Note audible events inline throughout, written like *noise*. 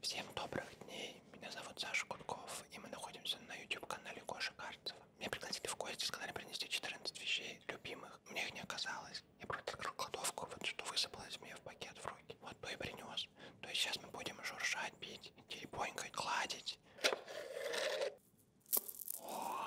Всем добрых дней, меня зовут Саша Кунков, и мы находимся на YouTube-канале Гоша Карцева. Меня пригласили в гости, сказали принести 14 вещей, любимых. Мне их не оказалось. Я просто открыл кладовку, вот что высыпалось мне в пакет в руки. Вот то и принес. То есть сейчас мы будем журшать, бить, теребонькать, гладить. О!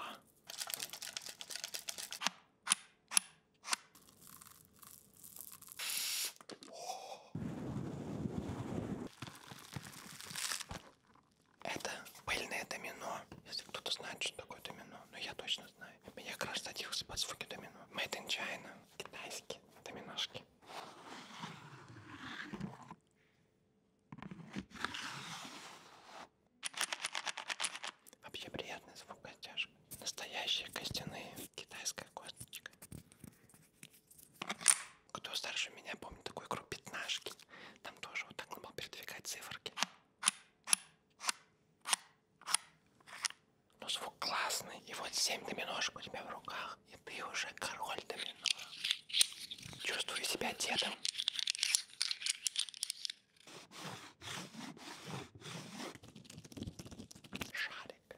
Это пыльное домино. Если кто-то знает, что такое домино, но ну, я точно знаю. Меня как раз садился под звуки домино. Made in China. Китайские доминошки. Вообще приятный звук костяшка. Настоящие костяные. Китайская косточка. Кто старше меня, помнит такую игру пятнашки. Там тоже вот так надо было передвигать циферки. Но звук классный. И вот 7 доминошек у тебя в руках. И ты уже король домино. Чувствую себя дедом. Шарик.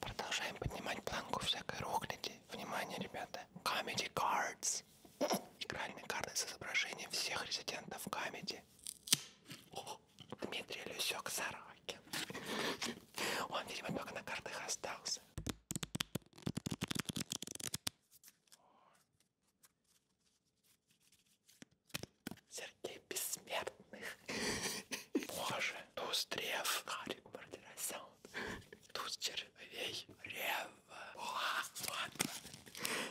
Продолжаем поднимать планку всякой рухляди. Внимание, ребята. Comedy Cards. Игральные карты с изображением всех резидентов Камеди. Дмитрий Люсек Сарова собаки. Он, видимо, только на картах остался. Сергей Бессмертных. Боже, туз древ. Харик Бардерасян. Туз червей. Рева. О, ладно.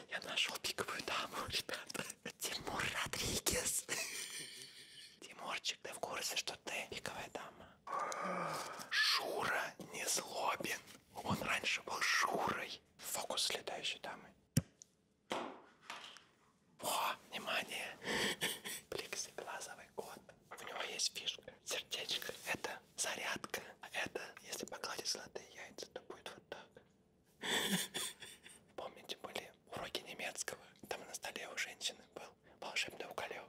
Я нашел пиковую даму, ребята. Тимур Родригес. Тимур Вовчик, ты в курсе, что ты пиковая дама? Шура не злобен. Он раньше был Шурой. Фокус с летающей дамы. О, внимание! Плексиглазовый кот. У него есть фишка. Сердечко. Это зарядка. А это, если погладить золотые яйца, то будет вот так. Помните, были уроки немецкого? Там на столе у женщины был был волшебный уколек.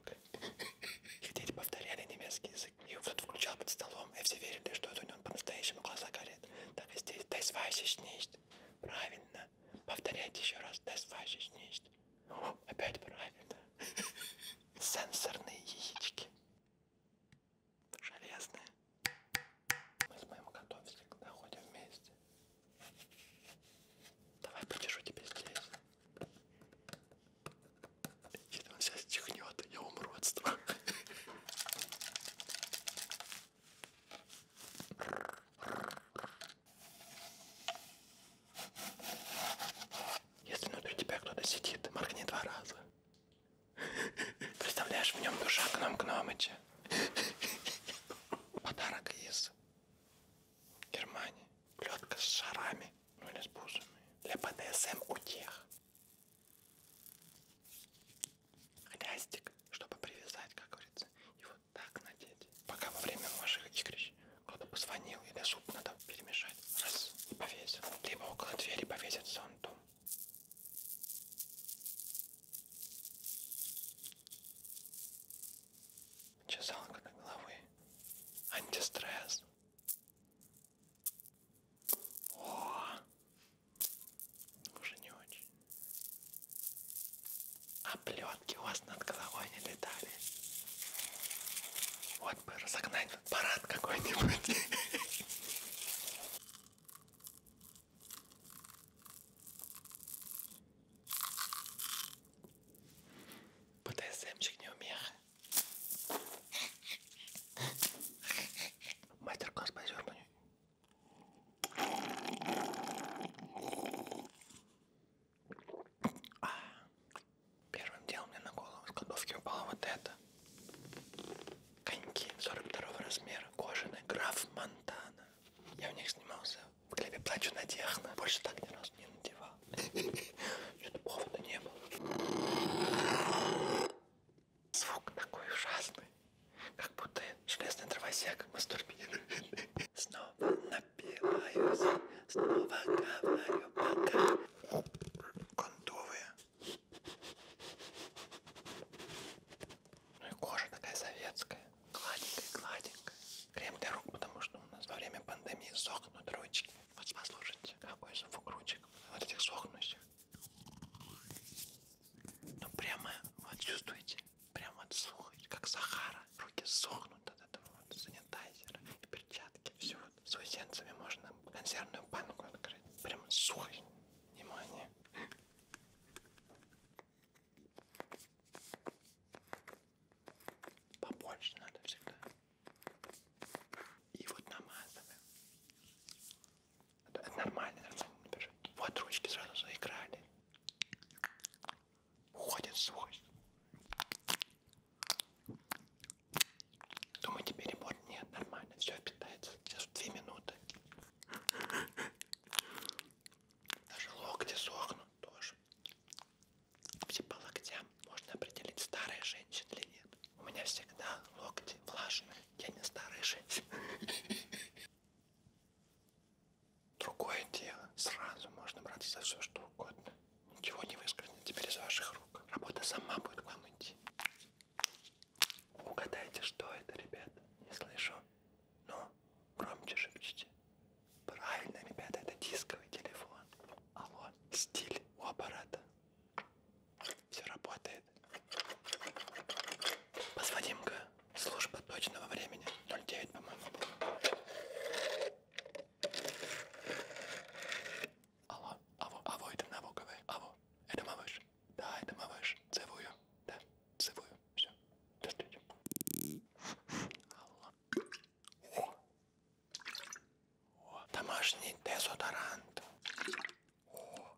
Их дети повторяли немецкий язык. И кто-то включал под столом, и все верили, что это у него по-настоящему глаза горят. Так и здесь. Das weiß ich nicht. Правильно. Повторяйте еще раз. Das weiß ich nicht. О, опять правильно. Сенсорные яички. Железные. Мы с моим котом всегда ходим вместе. Давай почешу тебя здесь. Если он сейчас чихнет, я умру от страха. Если внутри тебя кто-то сидит, моргни два раза. Представляешь, в нем душа Гном Гномыча. Подарок из Германии. Плетка с шарами, ну или с бусами. Для БДСМ утех. Хлястик, чтобы привязать, как говорится, и вот так надеть. Пока во время ваших игрищ кто-то позвонил или суп надо перемешать. Раз и повесил. Либо около двери повесит зонтом. Чесалка на головы. Антистресс. О, уже не очень. А пленки у вас над головой не летали. Вот бы разогнать парад какой-нибудь. *laughs* БДСМчик неумеха. Мастер-класс по зеркалу. Первым делом мне на голову с кладовки упало вот это. Коньки 42 размера, кожаные, граф Монтана. Я в них снимался в клипе плачу на техно. Больше так ни разу не надевал. *laughs* Что-то повода не было. Звук такой ужасный. Как будто железный дровосек мастурбирует. Снова напиваюсь, снова говорю пока. Кондовые. Ну и кожа такая советская гладенькая, гладенькая. Крем для рук, потому что у нас во время пандемии сохнут ручки. Вот послушайте, какой звук ручек, вот этих сохнущих. Ну прямо, вот чувствуете, прямо вот сухость, как Сахара. Руки сохнут от этого вот санитайзера и перчатки. Все, вот заусенцами можно консервную банку открыть. Прямо сухость, внимание. Побольше надо всегда. И вот намазываем. Это нормально, нормально не бежит. Вот ручки сразу заиграли. Уходит свой. Думаете, перебор? Нет, нормально, все питается. Сейчас в 2 минуты. Даже локти сохнут тоже. Все по локтям можно определить, старая женщина или нет. У меня всегда локти влажные. Я не старая женщина. Другое дело. Сразу можно браться за все, что угодно. Ничего не выскользнет теперь из ваших рук. Работа сама будет к вам идти. Угадайте, что это, ребята? Не слышу. Но ну, громче шепчите. Правильно, ребята, это дисковый телефон. Алло, стиль у аппарата. Все работает. Позвоним-ка. Служба точного времени. 09, по-моему, было. Алло, алло, алло, это налоговая. Алло, это малыш. Да, это малыш. Целую. Да, целую. Все, до встречи. Алло. О, домашний дезодорант. О.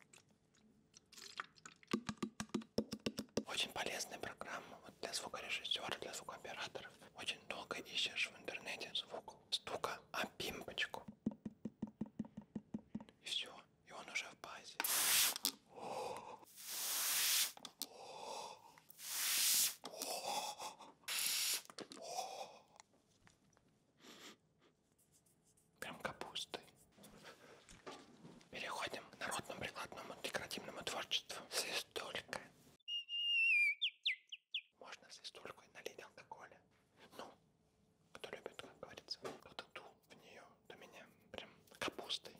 Очень полезная программа вот для звукорежиссера, для звукооператоров. Очень долго ищешь в интернете звук стука, а пимпочку. И все, и он уже в базе. Прям капустой. Переходим к народному прикладному декоративному творчеству. Свистулька. Можно свистульку и налить алкоголя. Ну, кто любит, как говорится, кто-то дул в нее до меня прям капустой.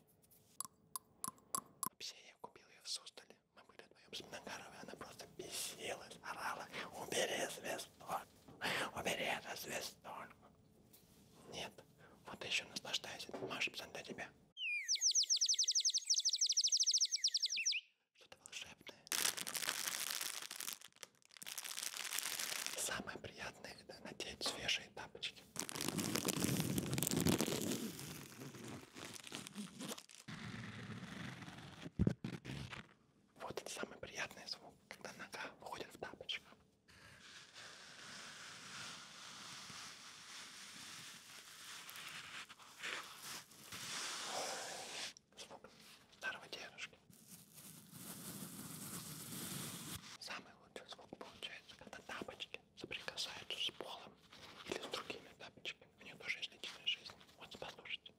Вообще я купил ее в Суздале. Мы были вдвоем с Многоровой, она просто бесилась, орала. Убери звездон, убери это звездон. Нет, вот еще наслаждайся, Маша, пацан, для тебя. Что-то волшебное. Самое приятное это надеть свежие тапочки картошки. Вот это самый приятный звук, когда нога выходит в тапочках. Звук старого дедушки. Самый вот звук получается, когда тапочки соприкасаются с полом или с другими тапочками. У нее тоже есть личная жизнь. Вот послушайте.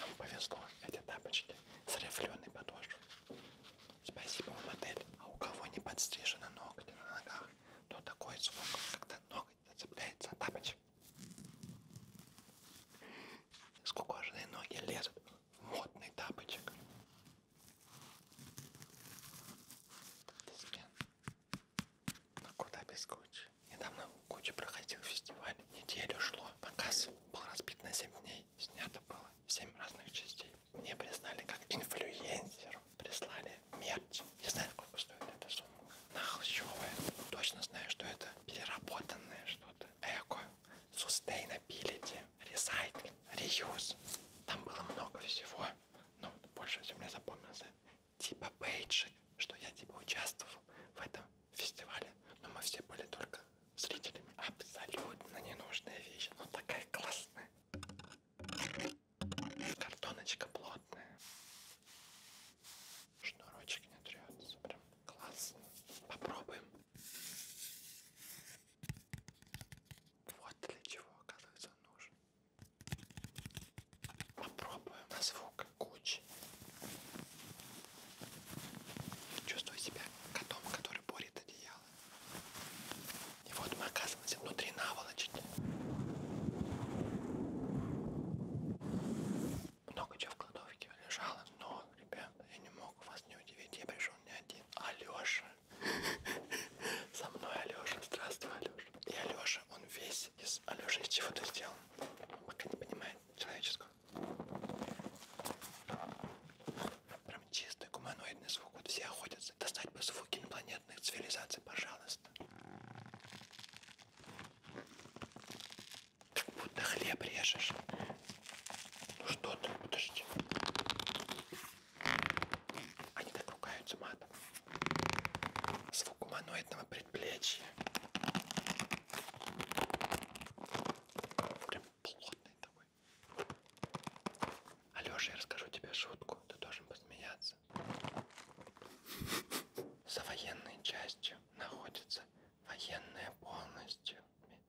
Нам повезло, эти тапочки с рифленой подошвой. Спасибо вам, отель. А у кого не подстрижены ногти на ногах, то такой звук, когда ноготь зацепляется за тапочек. Скукоженные ноги лезут модный тапочек. Дискен. Ну куда без Гуччи? Недавно Гуччи проходил фестиваль. Неделю шло. Показ был разбит на 7 дней. Снято было 7 разных частей. Мне признали как инфлюенсеру. Прислали мерч. Не знаю, сколько стоит эта сумма. Нахлщевая. Точно знаю, что это переработанное что-то. Эко sustainability, recycle, reuse. Там было много всего, но вот больше всего мне запомнился типа бейджик, что я типа участвовал в этом фестивале, но мы все были только зрителями. Абсолютно ненужная вещь, но ну, такая классная. Картоночка плотная. Шнурочек не трется, прям классно. Попробуем. Вот для чего, оказывается, он нужен. Попробуем на звук кучи. Чувствую себя котом, который борет одеяло. И вот мы оказываемся внутри наволочки. Много чего в кладовке лежало, но ребят, я не мог вас не удивить, я пришел не один. Алеша. Со мной Алеша. Здравствуй, Алеша. И Алеша, он весь из... Алеша, из чего ты сделал? Пока не понимает человеческого. Прям чистый гуманоидный звук. Вот все охотятся. Достать бы звуки инопланетных цивилизаций, пожалуйста. Как будто хлеб режешь. Ну что ты, подожди. Они так ругаются матом. Звук гуманоидного предплечья. Прям плотный такой. Алёша, я расскажу тебе шутку. Ты должен посмеяться. За военной частью находится военная полностью.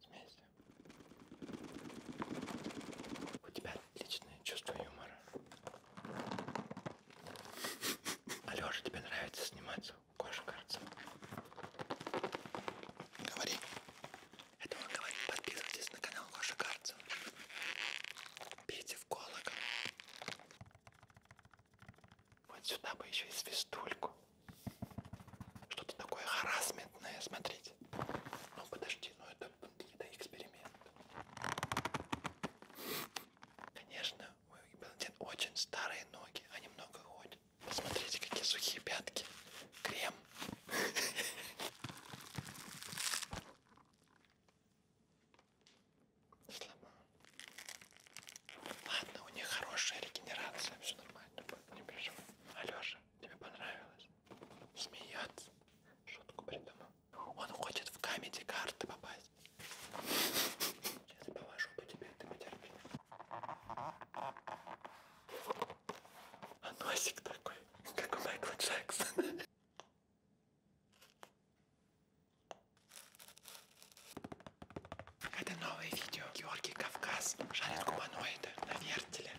Смесь. У тебя отличное чувство юмора. Алёша, тебе нравится сниматься у Коши Карцева? Говори. Это он говорит. Подписывайтесь на канал Коши Карцева. Бейте в колокол. Вот сюда бы еще и свистульку. Что-то такое харасментное, смотрите. Ну подожди, ну это, это эксперимент. Конечно, у Баландин очень старые ноги, они а много ходят. Посмотрите, какие сухие пятки. Крем. *laughs* Сломал. Ладно, у них хорошая регенерация, все нормально будет, не переживай. Алёша, тебе понравилось? Смеяться? Шутку придумал. Он хочет в камеди карты попасть. Сейчас я повожу по тебе, ты потерпи. А носик такой, как у Майкла Джексона. Это новое видео. Георгий Кавказ жарит гуманоида на вертеле.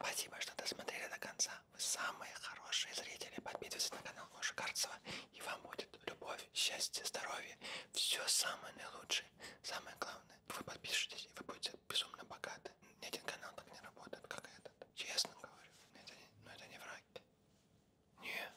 Спасибо, что досмотрели до конца. Вы самые хорошие зрители. Подписывайтесь на канал Гоши Карцева. И вам будет любовь, счастье, здоровье. Все самое наилучшее. Самое главное. Вы подпишитесь, и вы будете безумно богаты. Ни один канал так не работает, как этот. Честно говорю. Это не, но это не враги. Не.